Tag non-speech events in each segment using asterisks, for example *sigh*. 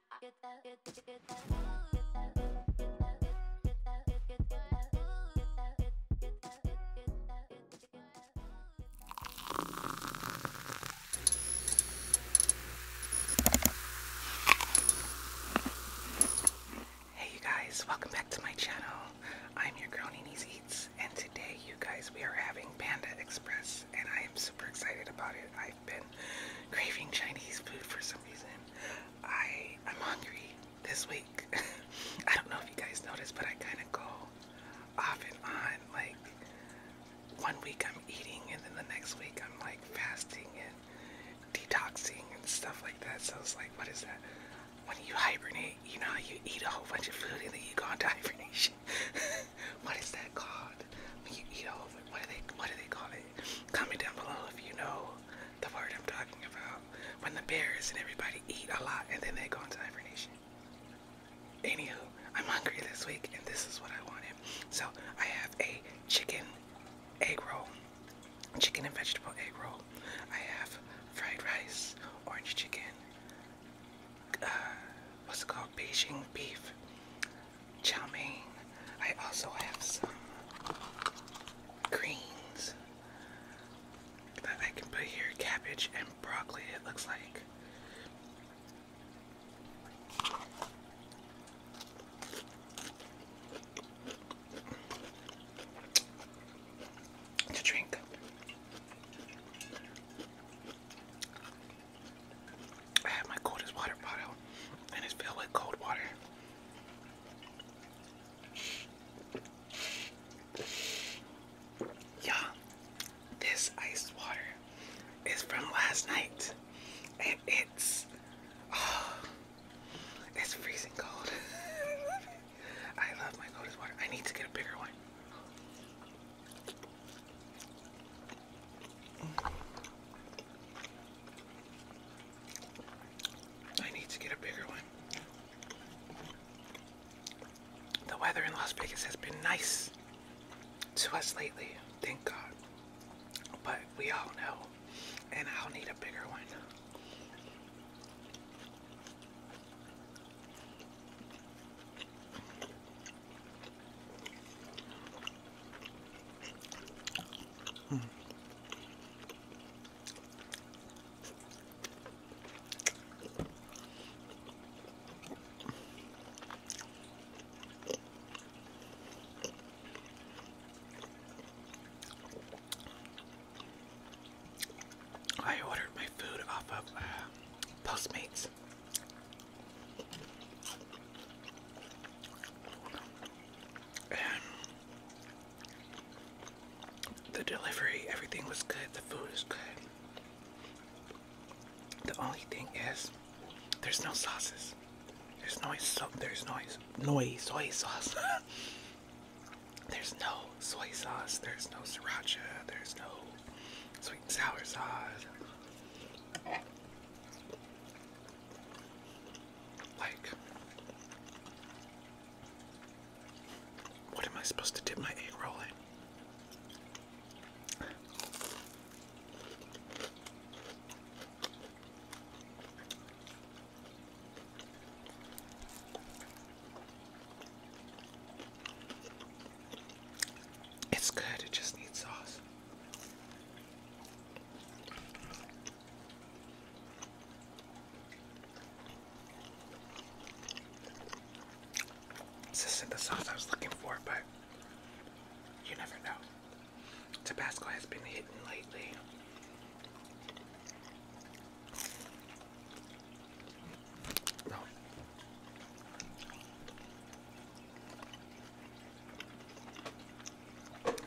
Hey you guys, welcome back to my channel. I'm your girl Nini's Eats and today you guys we are having Panda Express and I am super excited about it. I've been craving Chinese food for some reason. I am hungry this week. *laughs* I don't know if you guys noticed, but I kind of go off and on. Like one week I'm eating, and then the next week I'm like fasting and detoxing and stuff like that. So it's like, what is that? When you hibernate, you know, you eat a whole bunch of food and then you go into *laughs* hibernation. what is that called? you eat a whole, what do they, what do they call it? Comment down below if you know the word I'm talking about. When the bears and everybody eat a lot and then they go into hibernation. Anywho, I'm hungry this week and this is what I wanted. So I have a chicken egg roll, chicken and vegetable egg roll. I have fried rice, orange chicken, uh, what's it called? Beijing beef, chow mein. I also have some greens that I can put here. Cabbage and broccoli, it looks like. To drink. I have my coldest water bottle and it's filled with cold water. Yeah, this ice water is from last night and it's oh, it's freezing cold. *laughs* I love my coldest water. I need to get a bigger one. I need to get a bigger one. The weather in Las Vegas has been nice to us lately, thank God. But we all know, and I'll need a bigger one. Mm. I ordered my food off of uh, Postmates the delivery, everything was good. The food is good. The only thing is, there's no sauces. There's no so there's noise noise soy sauce. *laughs* there's no soy sauce. There's no sriracha. There's no sweet and sour sauce. Like, what am I supposed to dip my egg roll in? It's good, it just needs sauce. This isn't the sauce I was looking for, but you never know. Tabasco has been hidden lately.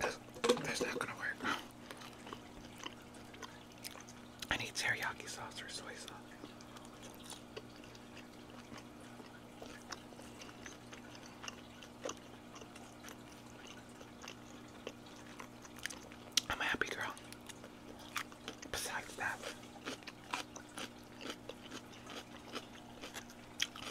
That's, that's gonna work. I need teriyaki sauce or soy sauce. I'm a happy girl. Besides that,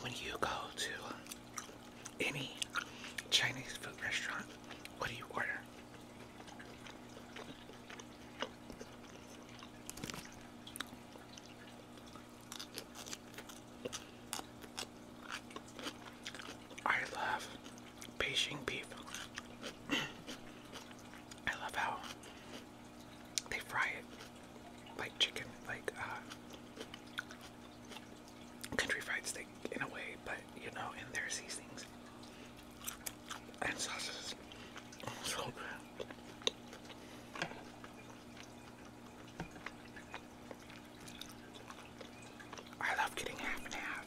When you go to any Chinese food restaurant, what do you order? I love Beijing beef. *clears throat* I love how they fry it like chicken, like uh, country fried steak in a way, but you know, in their seasonings and sauces. *laughs* So good. I love getting half and half.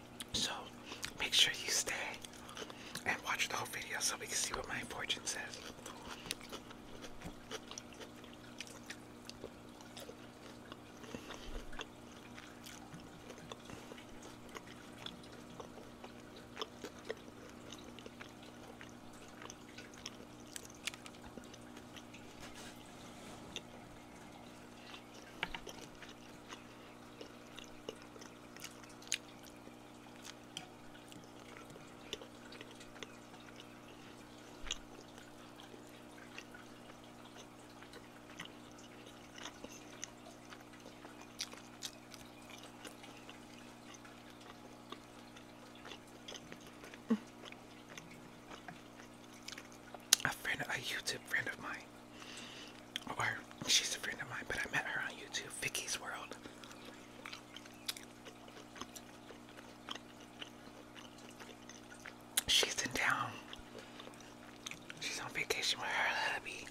So make sure you stay and watch the whole video so we can see what my fortune says. A friend, a YouTube friend of mine, or she's a friend of mine, but I met her on YouTube, Vicky's World. She's in town. She's on vacation with her hubby,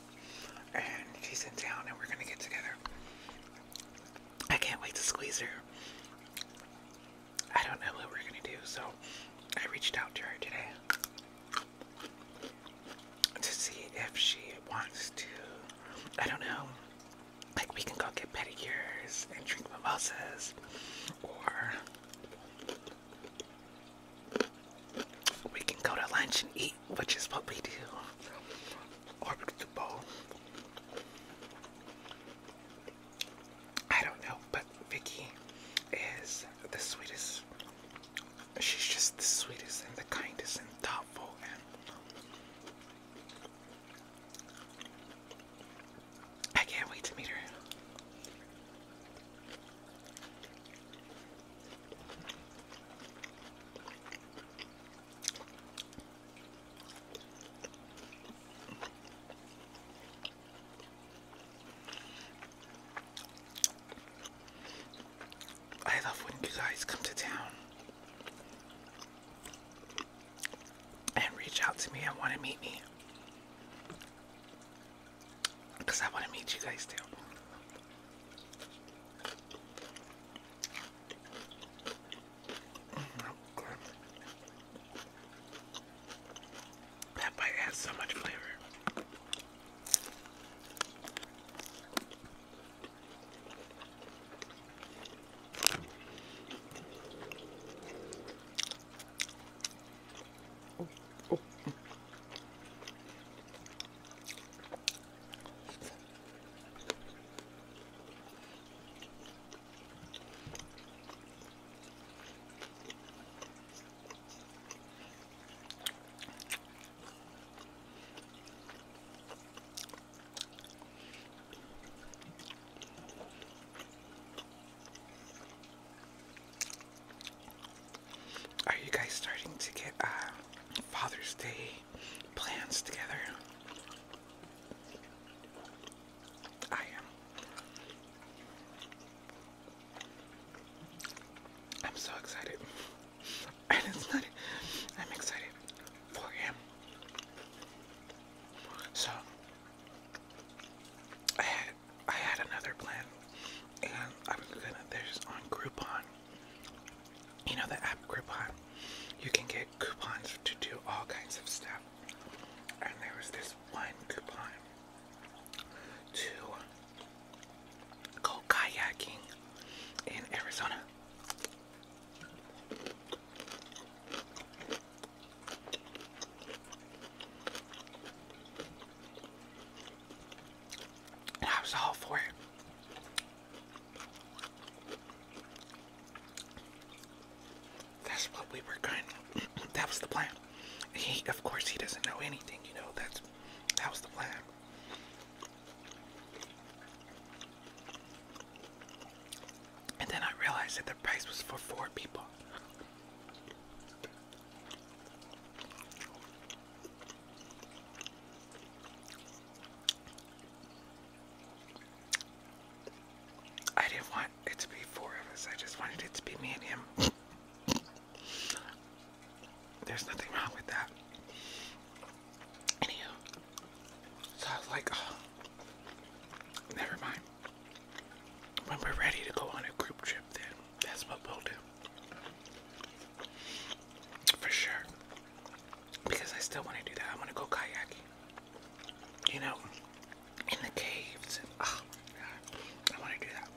and she's in town, and we're gonna get together. I can't wait to squeeze her. I don't know what we're gonna do, so I reached out to her today to see if she wants to, I don't know, like we can go get pedicures and drink mimosas, or we can go to lunch and eat, which is what we do, or the I don't know, but Vicky is the sweetest she's just the sweetest and the kindest and thoughtful and I can't wait to meet her. I love when you guys come to town and reach out to me and want to meet me. Because I want to meet you guys too. Mm-hmm. That bite has so much flavor. Are you guys starting to get uh, Father's Day plans together? I am. I'm so excited. *laughs* And it's not, I'm excited for him. So, I had, I had another plan. And I was gonna, there's on Groupon. You know the app Groupon? You can get coupons to do all kinds of stuff. And there was this one coupon to go kayaking in Arizona. I was all for it. That's what we were going. *clears throat* that was the plan. He, of course, he doesn't know anything. You know that's that was the plan. And then I realized that the price was for four people. I didn't want it to be four of us. I just wanted it to be me and him. *laughs* There's nothing wrong with that. Anywho, so like, oh, never mind. When we're ready to go on a group trip, then that's what we'll do. For sure. Because I still want to do that. I want to go kayaking. You know, in the caves. Oh, I want to do that.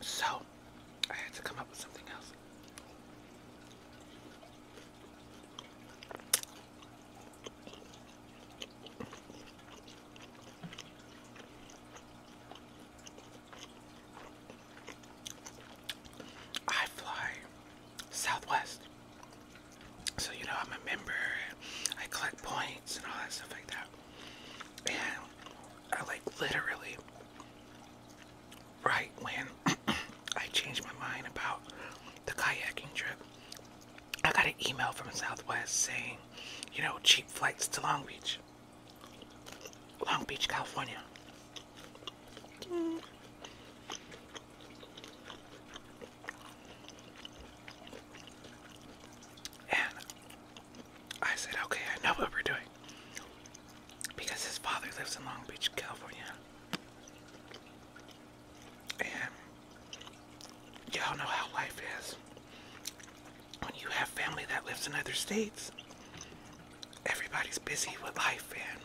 So, I had to come up with something else. I fly southwest so, you know, I'm a member, I collect points and all that stuff like that. And I like literally, right when *clears throat* I changed my mind about the kayaking trip, I got an email from Southwest saying, you know, cheap flights to Long Beach, Long Beach, California. And I said, okay, I know what we're doing. Because his father lives in Long Beach, California. And y'all know how life is. When you have family that lives in other states, everybody's busy with life, and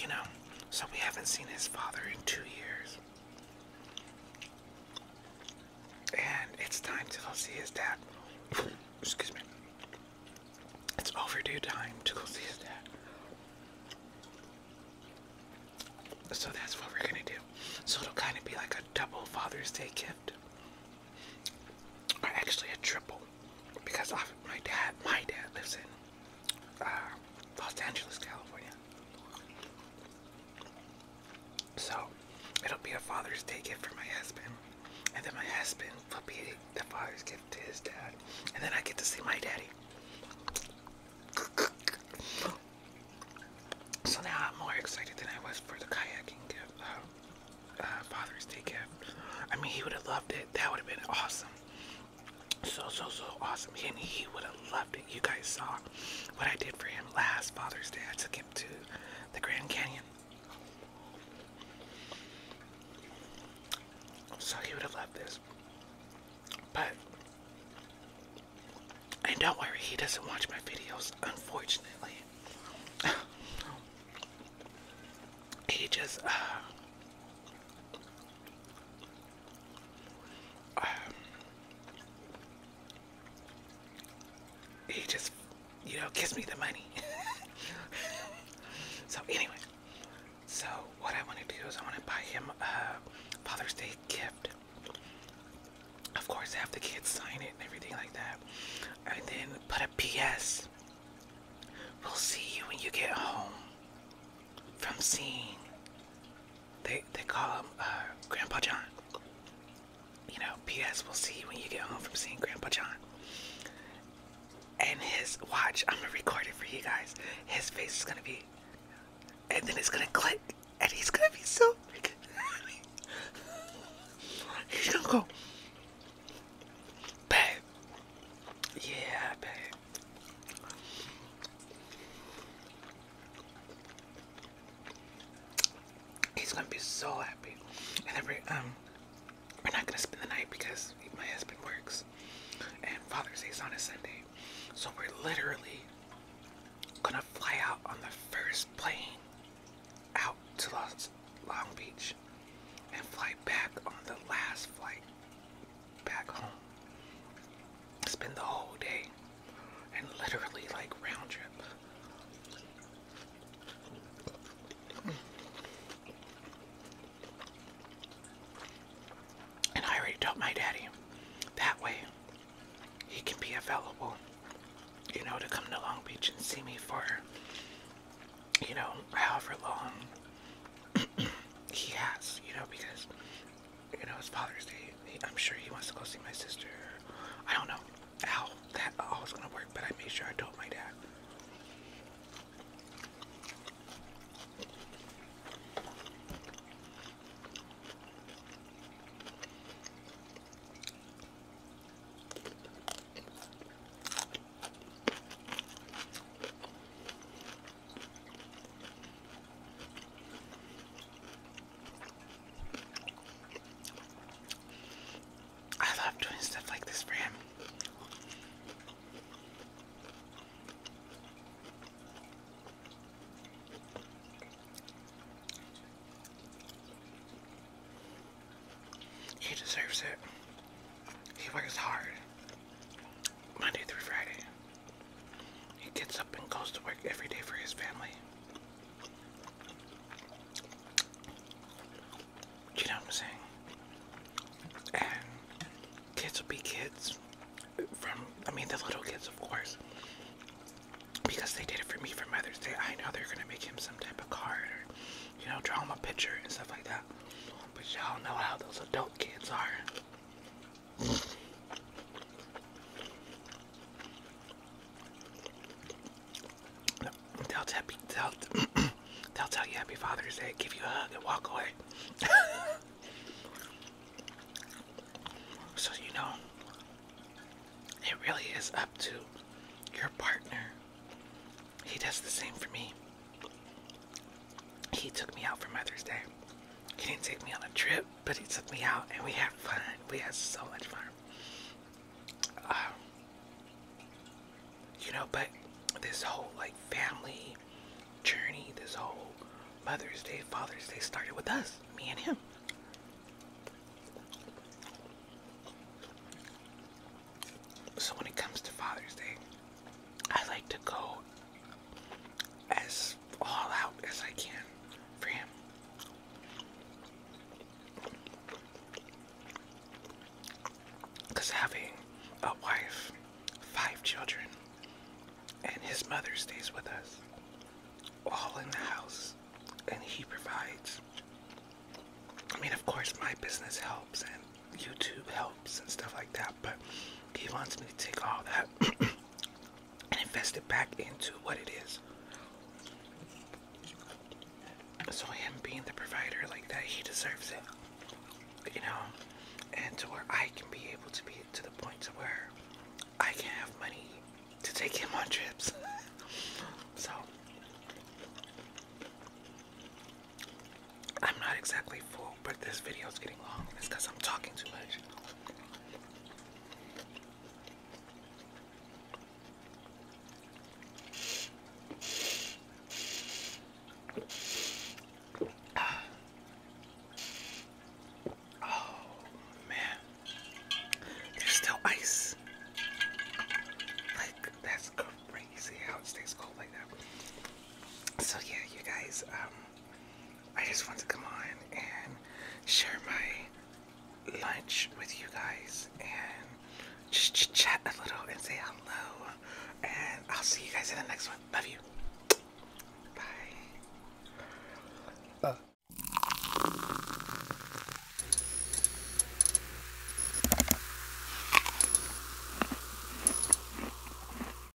you know, so we haven't seen his father in two years. And it's time to go see his dad. *laughs* Excuse me. It's overdue time to go see his dad. So that's what we're gonna do. So it'll kind of be like a double Father's Day gift, or actually a triple, because my dad, my dad lives in Ah, Los Angeles, California. So it'll be a Father's Day gift for my husband, and then my husband will be the father's gift to his dad, and then I get to see my daddy. So now I'm more excited than I was for the kayaking gift, uh, uh, Father's Day gift. I mean, he would have loved it. That would have been awesome so so so awesome and he would have loved it you guys saw what i did for him last father's day i took him to the grand canyon so he would have loved this but and don't worry he doesn't watch my videos unfortunately *laughs* he just uh, um, he just, you know, gives me the money. *laughs* so anyway, so what I want to do is I want to buy him a Father's Day gift. Of course, have the kids sign it and everything like that, and then put a P.S. We'll see you when you get home from seeing they they call him uh, Grandpa John. You know, P.S. We'll see when you get home from seeing Grandpa John. And his watch, I'm gonna record it for you guys. His face is gonna be, and then it's gonna click, and he's gonna be so *laughs* he's gonna go, babe. Yeah, babe. He's gonna be so happy. And every um we're not gonna spend the night because my husband works and Father's Day is on a Sunday. So we're literally gonna fly out on the first plane out to Los Long Beach and fly back on the last flight back home. Spend the whole day and literally like round trip. And I already told my daddy that way he can be available, you know, to come to Long Beach and see me for, you know, however long *clears throat* he has, you know, because you know, it's Father's Day. I'm sure he wants to go see my sister. I don't know how that all was gonna work, but I made sure I told my dad. I love doing stuff like this for him. He deserves it. He works hard Monday through Friday. He gets up and goes to work every day for his family. you know what I'm saying? And kids will be kids. From, I mean, the little kids, of course. Because they did it for me for Mother's Day. I know they're going to make him some type of card or, you know, draw him a picture and stuff like that. But y'all know how those adult kids are. They'll tell, they'll, *clears throat* they'll tell you Happy Father's Day, give you a hug, and walk away. *laughs* so you know, it really is up to your partner. He does the same for me he took me out for Mother's Day. He didn't take me on a trip, but he took me out and we had fun. We had so much fun. Um, you know, but this whole like family journey, this whole Mother's Day, Father's Day started with us, me and him. So when it comes to Father's Day, I like to go as all out as I can for him. Because having a wife, five children, and his mother stays with us, all in the house, and he provides. I mean, of course, my business helps and YouTube helps and stuff like that, but he wants me to take all that *clears throat* and invest it back into what it is. So him being the provider like that, he deserves it. You know, and to where I can be able to be to the point to where I can have money to take him on trips. *laughs* so I'm not exactly full but this video is getting long, it's because I'm talking too much. *sighs* Oh man, there's still ice. Like that's crazy how it stays cold like that. So yeah, you guys. Um, I just want to come on and share my lunch with you guys and just chat a little and say hello. And I'll see you guys in the next one. Love you. Bye. Uh.